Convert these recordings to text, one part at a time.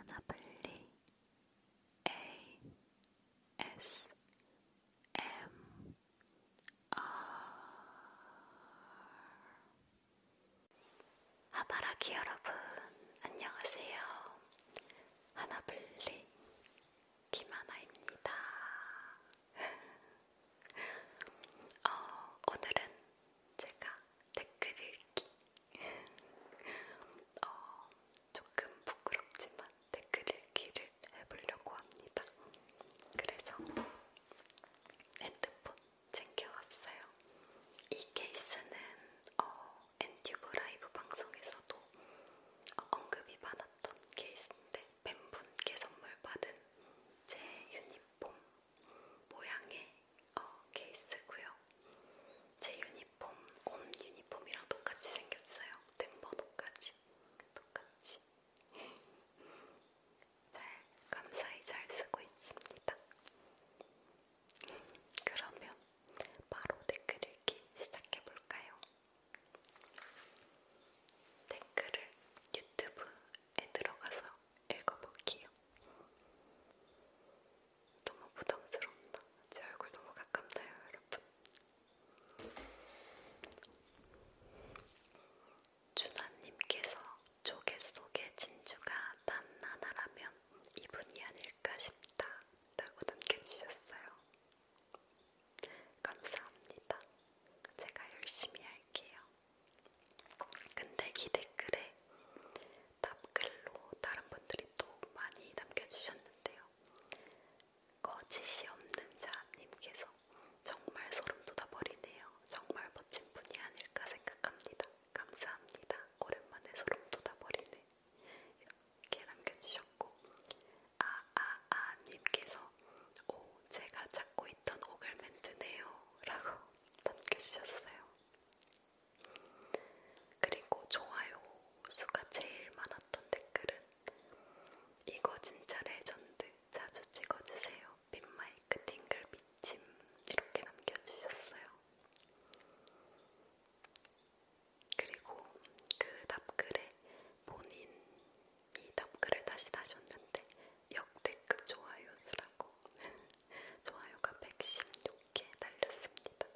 하나블리 A S M R 하바라기 여러분 안녕하세요. 하나블리 김하나입니다. 어, 오늘은 제가 댓글 읽기 어, 조금 부끄럽지만 댓글 읽기를 해보려고 합니다. 그래서 핸드폰 챙겨왔어요. 이 케이스는 어, 엔튜브 라이브 방송에서도 어, 언급이 많았던 케이스인데 팬분께 선물 받은 제 유니폼 모양의 어, 케이스고요. 제 유니폼, 홈 유니폼이랑 똑같이 생겼어요. 등번 똑같이, 똑같이. 잘 감사히 잘 쓰고 있습니다. 그러면 바로 댓글 읽기 시작해 볼까요? 댓글을 유튜브에 들어가서 읽어볼게요. 너무 부담스럽다. 제 얼굴 너무 가깝나요, 여러분? 준환님께서 조개 속에 진주가 단 하나라면 이분이 아닐까 싶다. 라고 남겨주셨어요. 감사합니다. 제가 열심히 할게요. 근데 이 댓글에 답글로 다른 분들이 또 많이 남겨주셨는데요. 거짓이 없는 자님께서 정말 소름 돋아버리네요. 정말 멋진 분이 아닐까 생각합니다. 감사합니다. 오랜만에 소름 돋아버리네. 이렇게 남겨주셨고 아아아님께서 오 제가 찾고 있던 오글멘트네요 라고 남겨주셨어요. 그리고 좋아요 수가 제일 많았던 댓글은 이거 진짜 레전드 자주 찍어주세요. 빈마이크 팅글 미침 이렇게 남겨주셨어요. 그리고 그 답글에 본인이 답글을 다시 다셨는데 역대급 좋아요 수라고 좋아요가 116개 달렸습니다.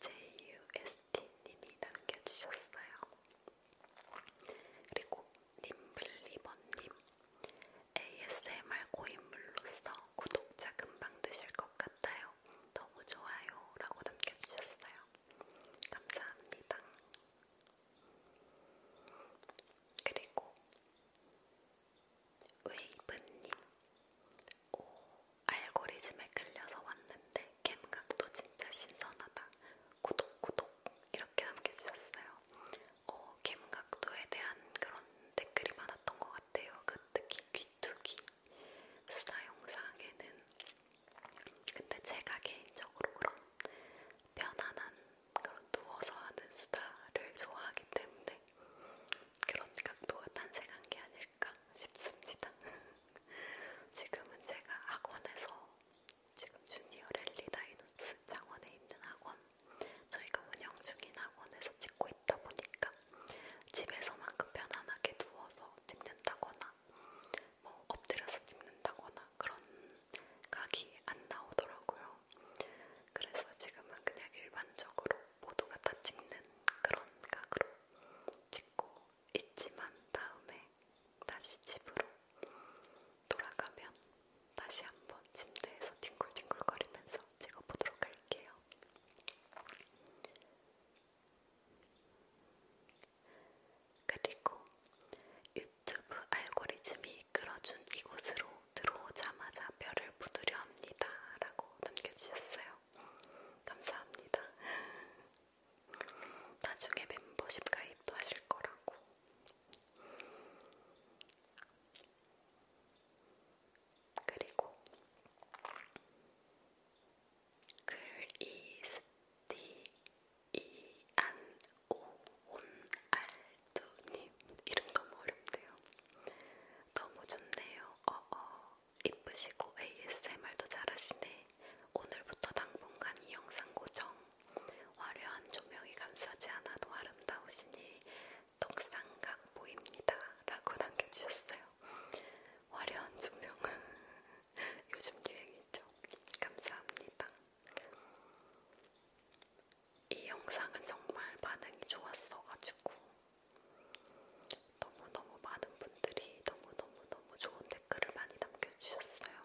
JUST님이 남겨주셨어요. 그리고 님블리버님 ASMR 고인물로서 구독자 금방 드실 것 같아요. 너무 좋아요 라고 남겨주셨어요. 감사합니다. 그리고 웨이브님 오 알고리즘에 끌려서 왔는데 캠각도 진짜 신선하다 구독 구독 이렇게 남겨주셨어요 어, 캠각도에 대한 그런 댓글이 많았던 것 같아요 그 특히 귀뚜기 수다 영상에는 근데 제가 개인적으로 그런 편안한 그런 누워서 하는 수다를 좋아하기 때문에 그런 각도가 탄생한 게 아닐까 싶습니다. 지금은 제가 학원에서 지금 주니어 랠리 다이노스 장원에 있는 학원 저희가 운영 중인 학원에서 찍고 있다 보니까 집에서만큼 편안하게 누워서 찍는다거나 뭐 엎드려서 찍는다거나 그런 각이 안 나오더라고요. 그래서 지금은 그냥 일반적으로 모두가 다 찍는 그런 각으로 찍고 있지만 다음에 다시 집으로 돌아가면 다시 한번 침대에서 뒹굴뒹굴거리면서 찍어보도록 할게요. 그리고 유튜브 알고리즘이 이끌어준 이곳으로 들어오자마자 뼈를 부두려 합니다. 라고 남겨주셨어요. 감사합니다. 나중에 멤버십 가입도 하실 거라고. 그리고 글이스티이안오온알 두님 이름 너무 어렵네요. 너무 좋네요. 어어 어. 이쁘시고 ASMR도 잘하시네. 오늘부터 당분간 이 영상 고정. 화려한 조명이 감싸지 않아도 아름다우시니 떡상각 보입니다. 라고 남겨주셨어요. 화려한 조명은 요즘 유행이죠. 감사합니다. 이 영상은 정말 반응이 좋았어가지고 너무너무 많은 분들이 너무너무너무 좋은 댓글을 많이 남겨주셨어요.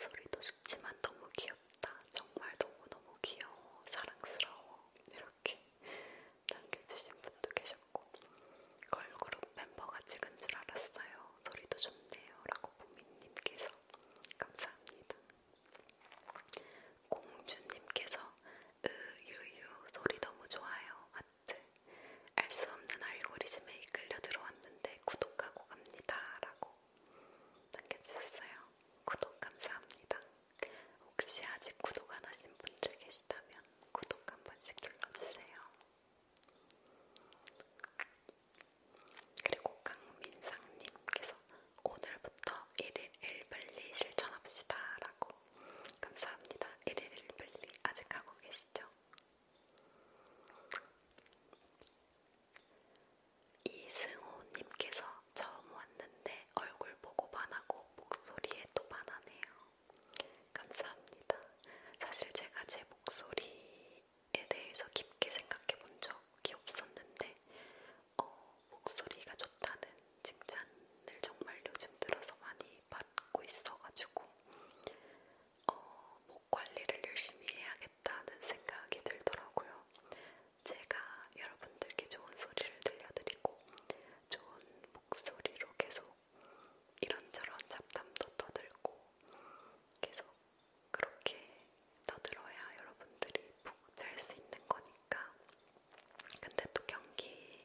소리도 좋지만 너무 귀엽다. 정말 너무너무 귀여워. 사랑스러워. 이렇게 남겨주신 분도 계셨고 걸그룹 멤버가 찍은 줄 알았어요. 소리도 좋네요. 라고 보미님께서 감사합니다. 공주님께서 으유유 소리 너무 좋아요 하트 알 수 없는 알고리즘에 이끌려 들어왔는데 구독하고 갑니다 라고 남겨주셨어요 구독 감사합니다 혹시 아직 구독 안 하신 분들 계시다면 구독 한 번씩 눌러주세요 그리고 강민상님께서 오늘부터 1일 1분리 실천합시다 라고 감사합니다. 1일 1분리 아직 하고 계시죠? 이승호님께서 처음 왔는데 얼굴 보고 반하고 목소리에 또 반하네요. 감사합니다. 사실 제가 제 목소리에 대해서 깊게 생각해 본 적이 없었는데 어, 목소리가 좋다는 칭찬을 정말 요즘 들어서 많이 받고 있어가지고 어, 목 관리를 열심히 해야겠다는 생각이 들더라고요. 제가 여러분들께 좋은 소리를 들려드리고 좋은 목소리로 계속 이런저런 잡담도 떠들고 계속 그렇게 떠들어야 여러분들이 푹 잘 수 있는 거니까. 근데 또 경기,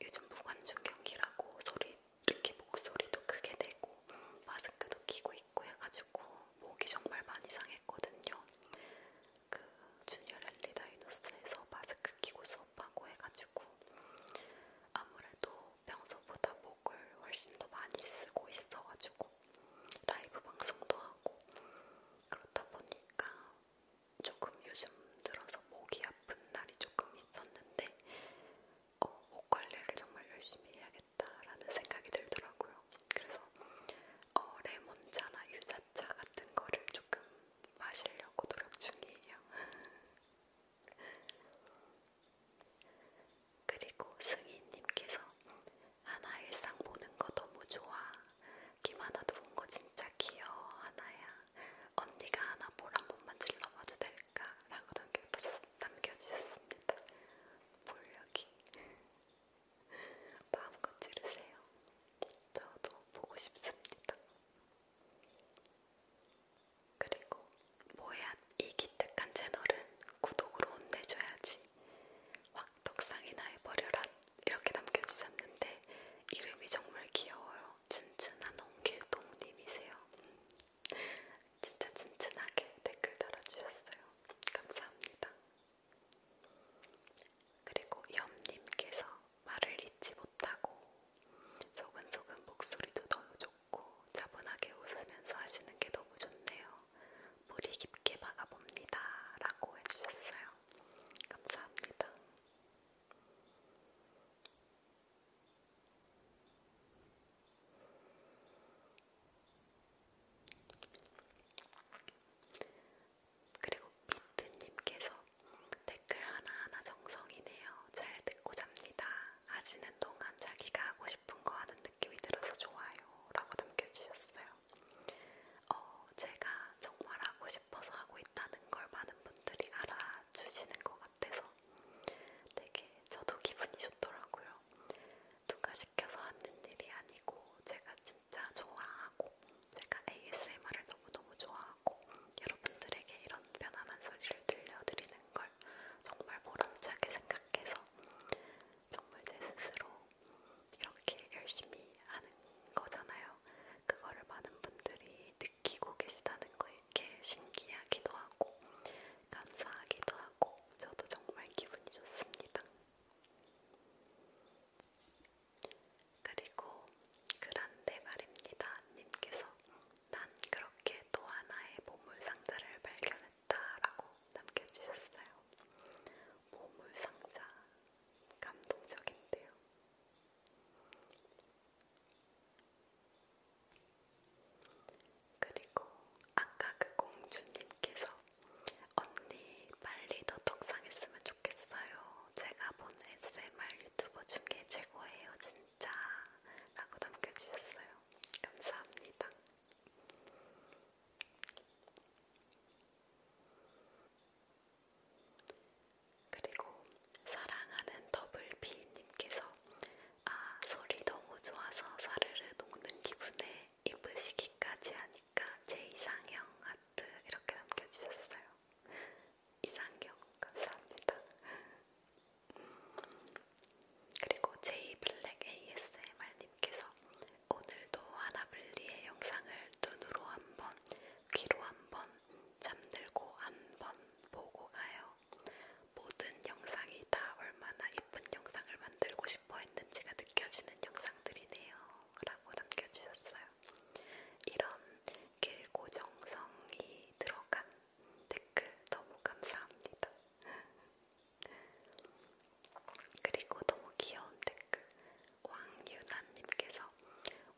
요즘 무관중 경기라고 소리, 이렇게 목소리도 크게 내고, 마스크도 끼고 있고 해가지고, 목이 정말 많이 상했거든요. 그, 주니어 랠리 다이노스에서 마스크 끼고 수업하고 해가지고, 아무래도 평소보다 목을 훨씬 더 많이 쓰고 있어가지고, 라이브 방송도 하고, 그렇다 보니까 조금 요즘 들어서 목이 아픈 날이 조금 있었는데 어, 목 관리를 정말 열심히 해야겠다라는 생각이 들더라고요. 그래서 어, 레몬차나 유자차 같은 거를 조금 마시려고 노력 중이에요. 그리고 승희님께서 하나 일상 보는 거 너무 좋아. 김하나도 본거 진짜 귀여워, 하나야. 언니가 하나 볼한 번만 질러봐도 될까? 라고 남겨주셨습니다. 볼력이. 마음껏 지르세요. 저도 보고 싶습니다. 그리고 뭐야 이 기특한 채널은 구독으로 혼내줘야지. 왁덕상이 나의 버려라 이렇게 남겨주셨는데 이름이 정말 귀여워요. 튼튼한 홍길동님이세요. 음. 진짜 튼튼하게 댓글 달아주셨어요. 감사합니다. 그리고 염님께서 말을 잊지 못하고 소근소근 목소리도 너무 좋고 차분하게 웃으면서 하시는 게 너무 좋네요. 물이 깊게 박아봅니다. 라고 해주셨어요. 감사합니다. 그리고 비트님께서 댓글 하나하나 정성이네요. 잘 듣고 잡니다. 아시는 동안 자기가 하고 싶은 거 하는 느낌이 들어서 좋아요. 라고 남겨주셨어요. 어, 제가 정말 하고 싶어서 하고 있다는 걸 많은 분들이 알아주시는 것 같아서 되게 저도 기분이 좋더라고요. 누가 시켜서 하는 일이 아니고 제가 진짜 좋아하고 제가 ASMR을 너무너무 좋아하고 여러분들에게 이런 편안한 소리를 들려드리는 걸 정말 보람차게 생각해서 정말 제 스스로 이렇게 열심히 하는 거잖아요. 그거를 많은 분들이 느끼고 계시다는 거에 이렇게 신기하기도 하고 감사하기도 하고 저도 정말 기분이 좋습니다. 그리고 그란데 말입니다 님께서 난 그렇게 또 하나의 보물 상자를 발견했다. 좋겠다라고 남겨주셨어요. 보물상자 감동적인데요. 그리고 아까 그 공주님께서 언니 빨리 더 떡상했으면 좋겠어요. 제가 본 SMR 유튜버 중에 최고예요, 진짜. 라고 남겨주셨어요. 감사합니다. 그리고 사랑하는 더블비님께서 아 소리 너무 좋아서 사르르 녹는 기분에 입으시기까지 하니까 제 이상형 하트 이렇게 남겨주셨어요. 이상형 감사합니다. 그리고 제이블랙 ASMR님께서 오늘도 하나블리의 영상을 눈으로 한번, 귀로 한번, 잠들고 한번 보고 가요. 모든 영상이 다 얼마나 이쁜 영상을 만들고 싶어 했는지가 느껴지는 영상들이네요. 라고 남겨주셨어요. 이런 길고 정성이 들어간 댓글 너무 감사합니다. 그리고 너무 귀여운 댓글 그 왕유나님께서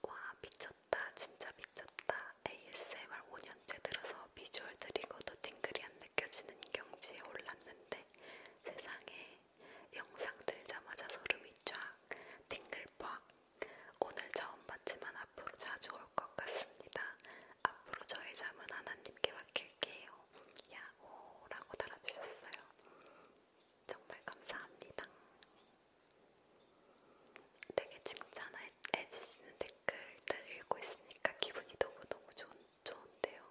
와 미쳤다 진짜 미쳤다 ASMR 5년째 들어서 비주얼 들이고도 팅글이 안 느껴지는 경지에 올랐는데 세상에 영상 들자마자 소름이 쫙 팅글 빡 오늘 처음 봤지만 앞으로 자주 올 것 같습니다 앞으로 저의 잠은 하나님께 맡길게요 야호라고 달아주셨어요 정말 감사합니다. 되게 칭찬해주시는 댓글들 읽고 있으니까 기분이 너무너무 좋, 좋은데요.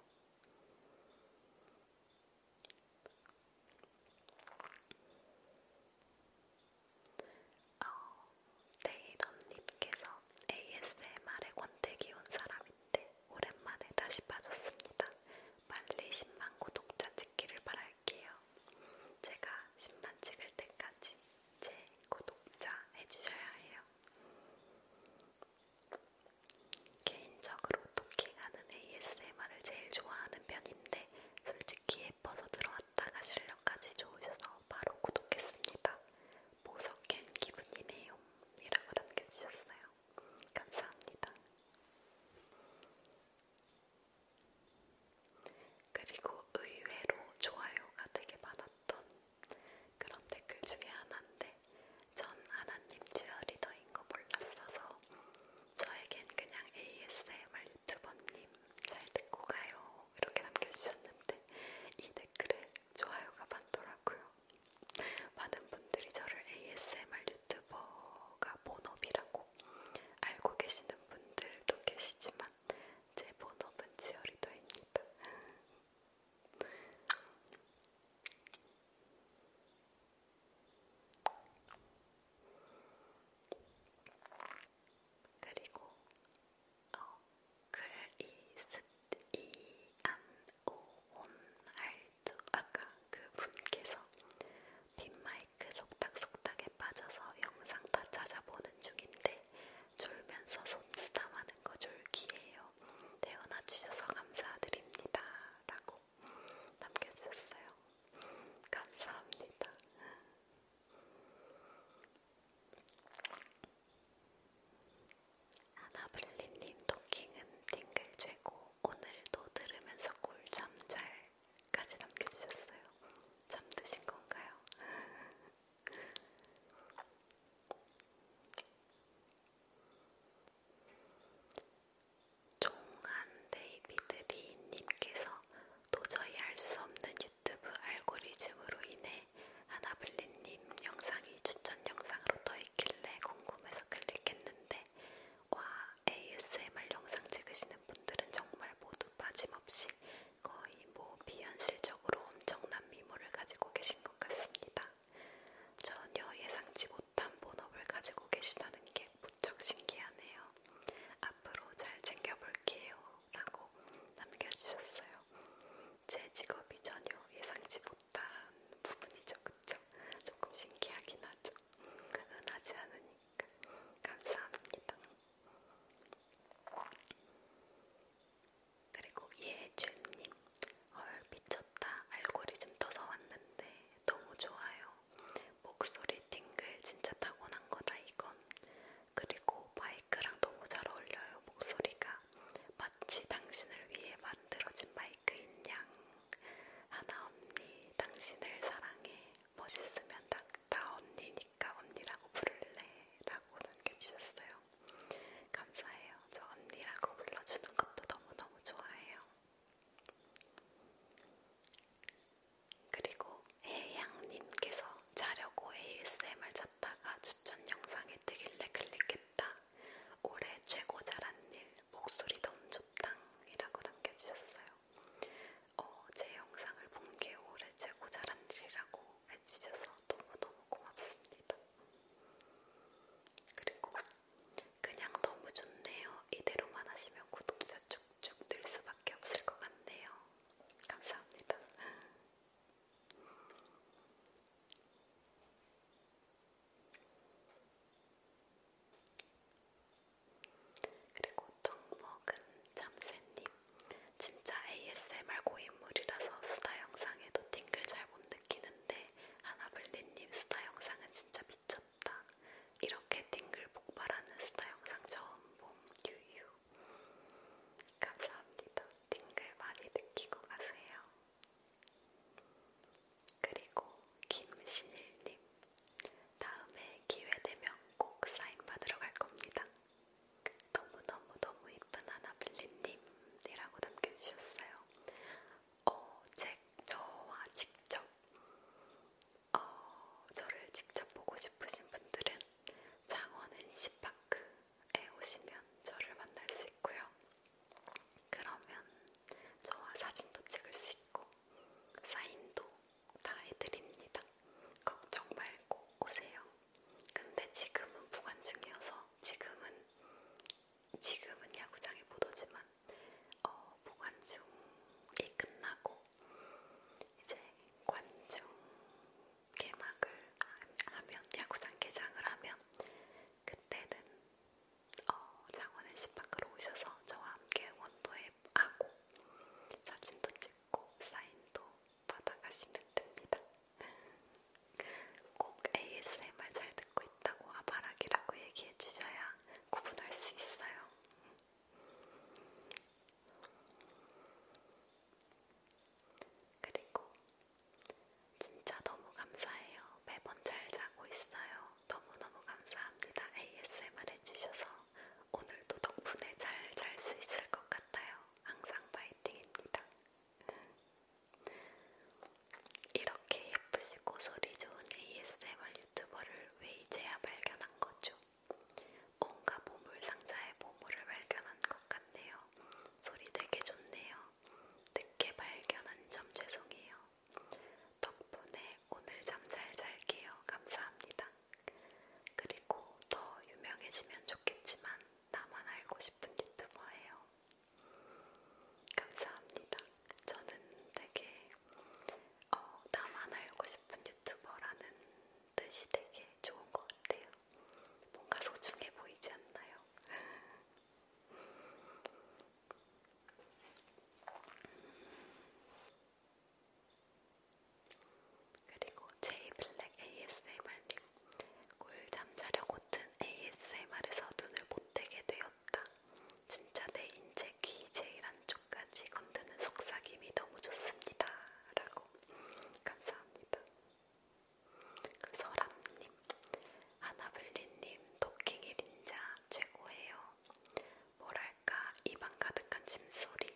어, 네이런님께서 ASMR에 권태기 온 사람이 네, 오랜만에 다시 빠졌습니다. 빨리 10만 구독자 찍기를 바랄게요. 제가 10만 찍을 때까지 제 구독자 해주셔야 해요. 개인적으로 토킹하는 ASMR을 제일 좋아하는 편인데 솔직히 예뻐서 들어왔다가 실력까지 좋으셔서 바로 구독했습니다. 보석캔 기분이네요. 이라고 남겨주셨어요. 감사합니다. 그리고 의외로 좋아요가 되게 많았던 그런 댓글 중에 하나인데 전 하나님 쥐어리더인 거 몰랐어서 저에겐 그냥 ASMR 유튜버님 잘 듣고 가요 이렇게 남겨주셨는데 이 댓글에 좋아요가 많더라고요. 많은 분들이 저를 ASMR 유튜버가 본업이라고 알고 계시는 분들도 계시지만 제 본업은 지어리더입니다. 그리고 어, 글이 스이안오온알 저 아까 그 분께서 빈마이크 속닥속닥에 빠져서 영상 다 찾아보는 중인데 졸면서 손 쓰담하는 거 졸기예요. 태어나 주셔서 감사드립니다. 라고 남겨주셨어요. 감사합니다. 아나블리님 토킹은 띵글 최고 오늘도 들으면서 꿀잠 잘까지 남겨주셨어요. 잠드신 건가요? 종한 데이비드리님께서 도저히 알 수 없는 유튜브 알고리즘으로 인해 아나블리님 영상이 추천 영상으로 떠있길래 궁금해서 클릭했는데 와 ASMR 영상 찍으시는 분들은 정말 모두 빠짐없이 거의 뭐 비현실적으로 엄청난 미모를 가지고 계신 것 같습니다. 전혀 예상치 못한 본업을 가지고 계시다는 게 무척 신기하네요. 앞으로 잘 챙겨볼게요. 라고 남겨주셨어요. 제 직업이 전혀 예상치 못한 비슷한 부분이죠, 그쵸? 조금 신기하긴 하죠. 흔하지 않으니까. 감사합니다. 그리고 예준님, 헐 미쳤다. 알고리즘 떠서 왔는데 너무 좋아요. 목소리 띵글 진짜 타고난 거다 이건. 그리고 바이크랑 너무 잘 어울려요 목소리가. 마치 당신을 위해 만들어진 마이크인 양 하나 언니 당신을 사랑해 멋있으면 다, 다 언니니까 언니라고 부를래 라고 남겨주셨어요. 감사해요. 저 언니라고 불러주는 것도 너무너무 좋아해요. 그리고 해양님께서 자려고 ASMR 찾다가 추천 영상이 뜨길래 클릭했다. 올해 최고 잘한 일 목소리 너무 좋당이라고 남겨주셨어요. 어, 제 영상을 본 게 올해 최고 잘한 일이라고 해주셔서 너무너무 고맙습니다. 그리고 그냥 너무 좋네요. 이대로만 하시면 구독자 쭉쭉 늘 수밖에 없을 것 같네요. 감사합니다. 그리고 떡먹은 참새님 진짜 ASMR 고인물이라서 수다 영상에도 팅글 잘 못 느끼는데 하나블리님 수다 영상은 진짜 미쳤다 이렇게 팅글 폭발하는 수다 영상 처음 봄 유유 감사합니다 팅글 많이 느끼고 가세요 그리고 김신일님, 다음에 기회되면 꼭 사인 받으러 갈 겁니다. 너무너무너무 이쁜 아나블리님이라고 남겨주셨어요. 어, 책 저와 직접, 어, 저를 직접 보고 싶으신 분들은 장원은 시파크에 오시면 저를 만날 수 있고요. 그러면 저와 사진도 찍을 수 있고 사인도 다 해드립니다. 걱정 말고 오세요. 근데 지금은 부관 중이어서 지금은 지금은 야구장에 못 오지만 어, 부관중이 끝나고 이제 관중 개막을 하면 야구장 개장을 하면 그때는 어, 장원은 씨 밖으로 오셔서 저와 함께 원도앱하고 사진도 찍고 사인도 받아가시면 됩니다. 꼭 ASMR 잘 듣고 있다고 아바락이라고 얘기해 주셔야 구분할 수 있어요. 그리고 진짜 너무 감사해요. 매번 잘 자고 있어요. 너무너무 감사합니다. ASMR 해주셔서 오늘도 덕분에 잘 잘 수 있을 것 같아요. 항상 파이팅입니다. 음. 이렇게 예쁘시고 소리 좋은 ASMR 유튜버를 왜 이제야 발견한 거죠? 온갖 보물 상자에 보물을 발견한 것 같네요. 소리 되게 좋네요. 늦게 발견한 점 죄송해요. 덕분에 오늘 잠 잘 잘게요. 감사합니다. 그리고 더 유명해지면 좋겠지만 나만 알고 싶은 유튜버예요. 감사합니다. 저는 되게 어, 나만 알고 싶은 유튜버라는 뜻이 되게 좋은 것 같아요. 뭔가 소중해 보이지 않나요? 그리고 제이블랙 ASMR님 꿀잠 자려고 든 ASMR에서 눈을 못 뜨게 되었다. 진짜 내 인체 귀 제일 안쪽까지 건드는 속삭임이 너무 좋습니다. 라고 감사합니다. 그 서람님, 아나블리님, 도킹이 린자 최고예요. 뭐랄까 입안 가득한 짐소리.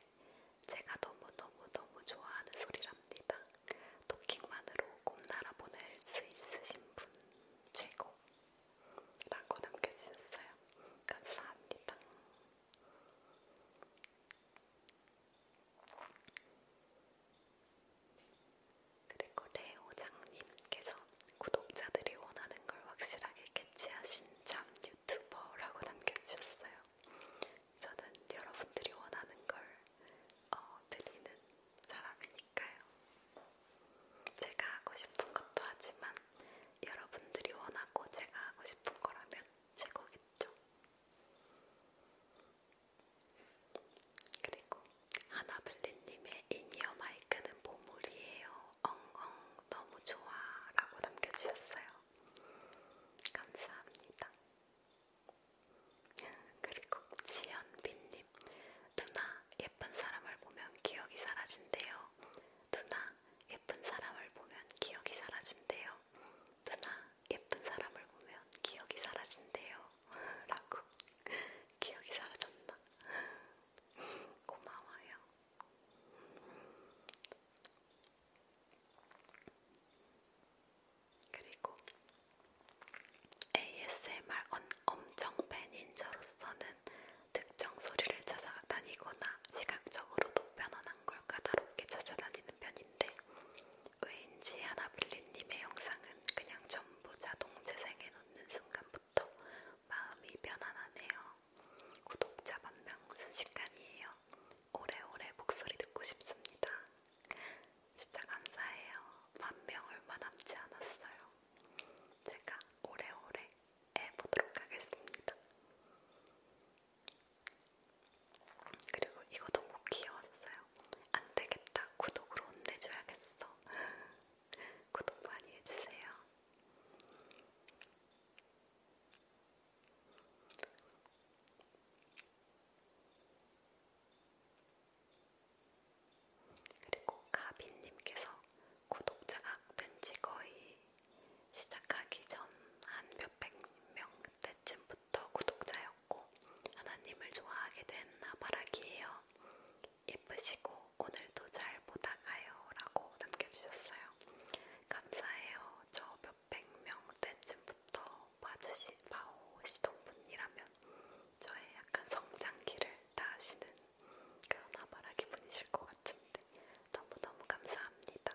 제가 너무너무너무 좋아하는 소리랍니다. 도킹만으로 꿈나라 보낼 수 있으신 분 최고. 라고 남겨주셨어요. 감사합니다. 그리고 레오장님께서 네, 구독자들이 원하는 걸 확실하게 캐치하신 참 유튜버라고 남겨주셨어요. 저는 여러분들이 원하는 걸 어, 드리는 사람이니까요. 제가 하고 싶은 것도 하지만 여러분들이 원하고 제가 하고 싶은 거라면 최고겠죠. 그리고 하나블리님의 인이어 마이크는 보물이에요. 엉엉 너무 좋아라고 남겨주셨어요. 감사합니다. 그리고 지연빈님 누나 예쁜 사람을 보면 기억이 사라진대요. 누나 예쁜 사람을 보면 기억이 사라진대요. 누나 예쁜 사람을 보면 기억이 사라진대요. 라고 기억이 사라졌나? 고마워요. 그리고 ASMR 엄청 팬인 저로서는 특정 소리를 찾아다니거나 시각적으로도 편안한 걸 까다롭게 찾아다니는 편인데 왜인지 하나블리님의 영상은 그냥 좀 전부 자동 재생해 놓는 순간부터 마음이 편안하네요. 구독자 만명 순식간이에요. 오래오래 목소리 듣고 싶습니다. 진짜 감사해요. 만명 얼마 남지 않았어요. 제가 오래오래 해보도록 하겠습니다. 그리고 이거 너무 귀여웠어요. 안 되겠다. 구독으로 혼내줘야겠어. 구독 많이 해주세요. 그리고 가빈님께서 구독자가 뜬지 거의 시작하기 전 한 몇백 명 그때쯤부터 때부터 구독자였고 하나님을 좋아하게 된 나바라기예요. 예쁘시고 오늘도 잘 보다가요 라고 남겨주셨어요. 감사해요. 저 몇백 명 때쯤부터 봐주시, 봐오시던 분이라면 저의 약간 성장기를 다하시는 그런 나바라기 분이실 것 같은데 너무너무 감사합니다.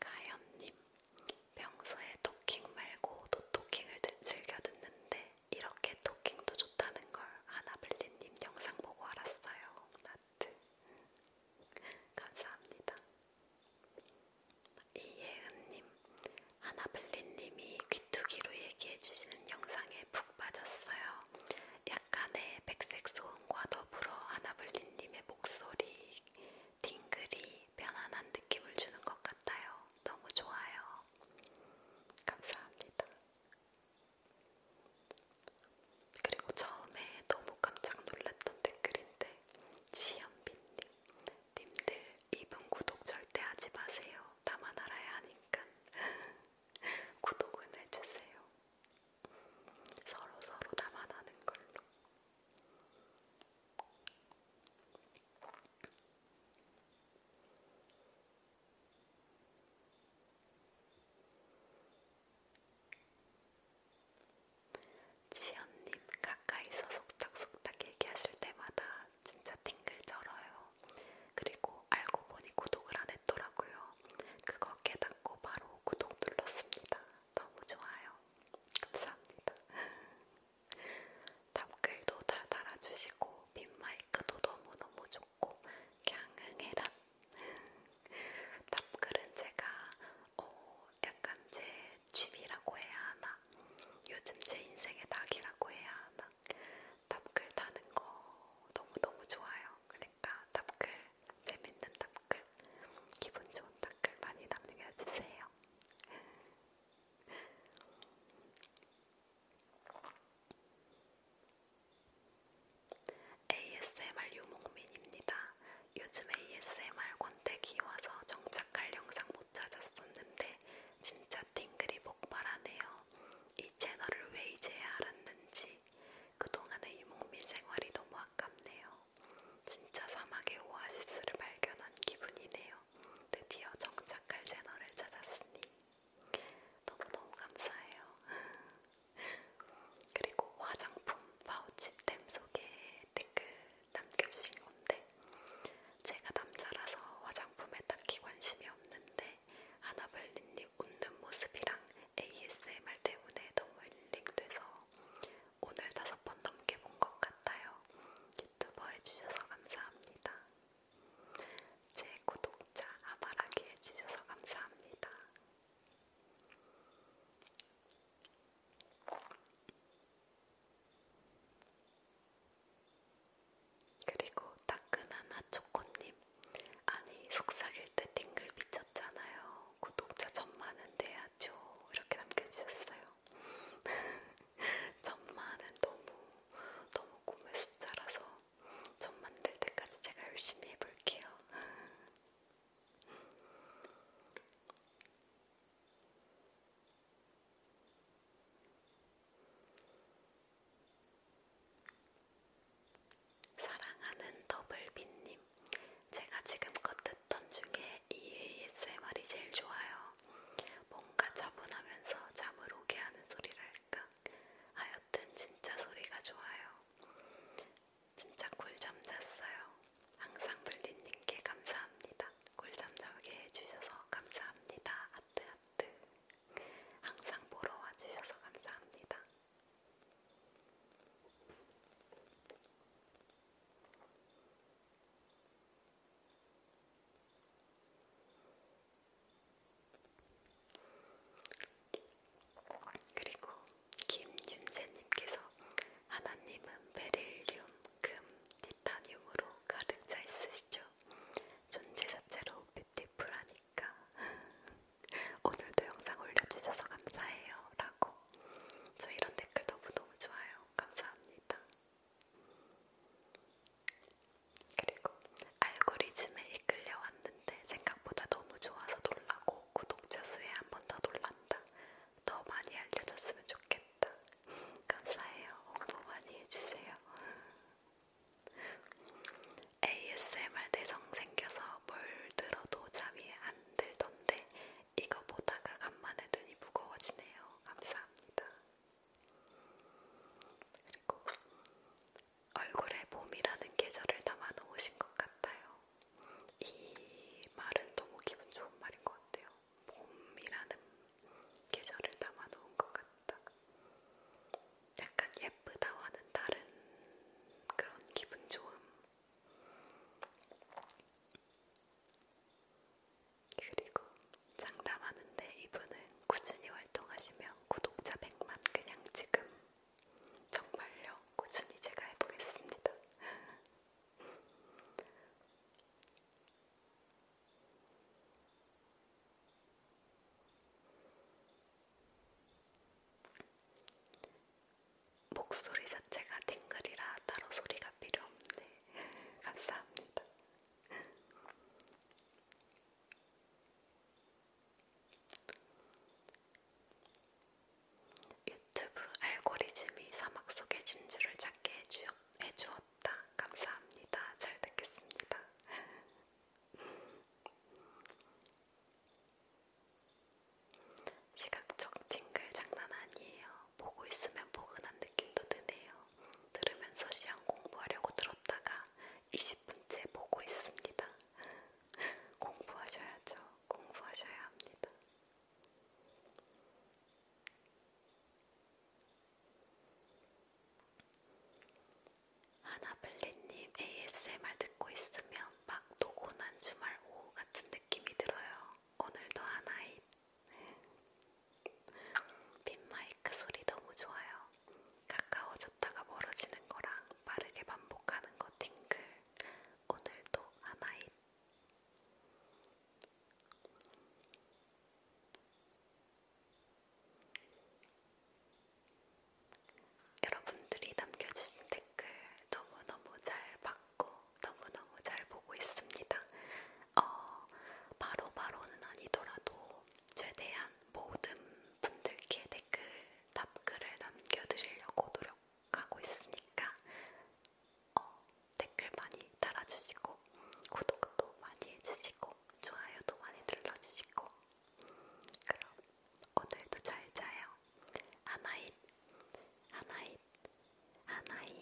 가연님, 평소에 토킹 말고 노토킹을 즐겨 듣는데 이렇게 토킹도 좋다는 걸 아나블리님 영상 보고 알았어요. 나트. 음. 감사합니다. 이예은님, 아나블리님이 귀뚜기로 얘기해주시는 영상에 푹 빠졌어요. 약간의 백색 소음과 더불어 아나블린님의 목소리 딩글이 편안한 느낌을 주는 것 같아요. 너무 좋아요. 감사합니다. 그리고 처음에 너무 깜짝 놀랐던 댓글인데 지현빈님 님들 이분 구독 절대 하지 마세요. 나만 알아야 하니까 구독은 해주세요. 서로 서로 나만 아는 걸로. 지연님 가까이서 속닥속닥 얘기하실 때마다 진짜 팅글 쩔어요. 그리고 알고 보니 구독을 안 했더라고요. 그거 깨닫고 바로 구독 눌렀습니다. 너무 좋아요. 감사합니다. 답글도 다 달아주시고 빈마이크도 너무너무 좋고 강흥해라. 답글은 제가 어, 약간 제 취미라고 해야 하나 요즘 제 인생의 낙이라고 해야 하나 답글 다는 거 너무너무 좋아요. 그러니까 답글, 재밌는 답글, 기분 좋은 답글 많이 남겨주세요. ASMR 유목민입니다. 요즘 ASMR 권태기 와서 정착할 영상 못 찾았었는데 진짜 팅글이 폭발하네요. 이이 채널을 왜 이제야 알았는지 그동안의 유목민 생활이 너무 아깝네요. 진짜 사막의 오아시스를 발견한 기분이네요. 드디어 정착할 채널을 찾았으니 너무너무 감사해요. 그리고 화장품 파우치템 소개 댓글 남겨주신 건데 제가 남자라서 화장품에 딱히 관심이 없는데 아나벨리님 웃는 모습이랑 ASMR 때문에 너무 힐링돼서 오늘 다섯 번 넘게 본 것 같아요. 유튜버 해주셔서 감사합니다. 제 구독자 아바라기 해주셔서 감사합니다. 그리고 따끈한 핫초코님 아니 속삭일 때 띵글 미쳤잖아요. 구독자 천만은 돼야죠. 이렇게 남겨주셨어요. 천만은 너무 너무 꿈의 숫자라서 전 만들 때까지 제가 열심히 해볼게요. 사랑하는 더블빈님, 제가 지금껏 듣던 중에 이 ASMR이 제일 좋아요. 뭔가 차분하면서 잠을 오게 하는 소리랄까. 하여튼 진짜 소리가 좋아요. 진짜 꿀잠 잤어요. 항상 불리님께 감사합니다. 꿀잠 자게 해주셔서 감사합니다. 하트 하트. 항상 보러 와주셔서 감사합니다. 그리고 김윤재님께서 하나님은 베릴륨, 금, 티타늄으로 가득 차 있으시죠. 존재 자체로 뷰티풀하니 거니까 오늘도 영상 올려주셔서 감사해요 라고 저 이런 댓글 너무너무 좋아요 감사합니다 그리고 알고리즘에 이끌려 왔는데 생각보다 너무 좋아서 놀라고 구독자 수에 한 번 더 놀란다 더 많이 알려줬으면 좋겠다 감사해요 홍보 많이 해주세요 ASMR 내성 생겨서 뭘 들어도 잠이 안 들던데 이거 보다가 간만에 눈이 무거워지네요. 감사합니다. 그리고 얼굴에 봄이라는 계절을 담아놓으신 것 같아요. 이 말은 너무 기분 좋은 말인 것 같아요. 봄이라는 계절을 담아놓은 것 같다. 약간 예쁘다와는 다른 그런 기분 좋음. 그리고 상담하는데 이분은 꾸준히 활동하시면 구독자 100만 그냥 지금 정말요 꾸준히 제가 해보겠습니다. 목소리 자체가 팅글이라 따로 소리가 필요 없네. 감사합니다. 유튜브 알고리즘이 사막 속의 진주를 찾게 해주었다. 감사합니다. 잘 듣겠습니다. 시각적 팅글 장난 아니에요. 보고 있으면 포근한 느낌도 드네요. 들으면서 시험 공부하려고 들었다가 20분째 보고 있습니다. 공부하셔야죠. 공부하셔야 합니다. 하나블리님 ASMR 듣고 있으면 막 도곤한 주말 오후 같은 느낌이 들어요. 오늘도 하나이. 빈마이크 소리 너무 좋아요. 가까워졌다가 멀어지는 거랑 빠르게 반복하는 거 팅글. 오늘도 하나이. 여러분들이 남겨주신 댓글 너무너무 잘 받고 너무너무 잘 보고 있습니다. 어, 바로바로는 아니더라도 최대한 모든 분들께 댓글, 답글을 남겨드리려고 노력하고 있으니까 어, 댓글 많이 달아주시고 구독도 많이 해주시고 좋아요도 많이 눌러주시고 그럼 오늘도 잘 자요. 아나잇, 아나잇, 아나잇.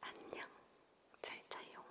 안녕, 잘 자요.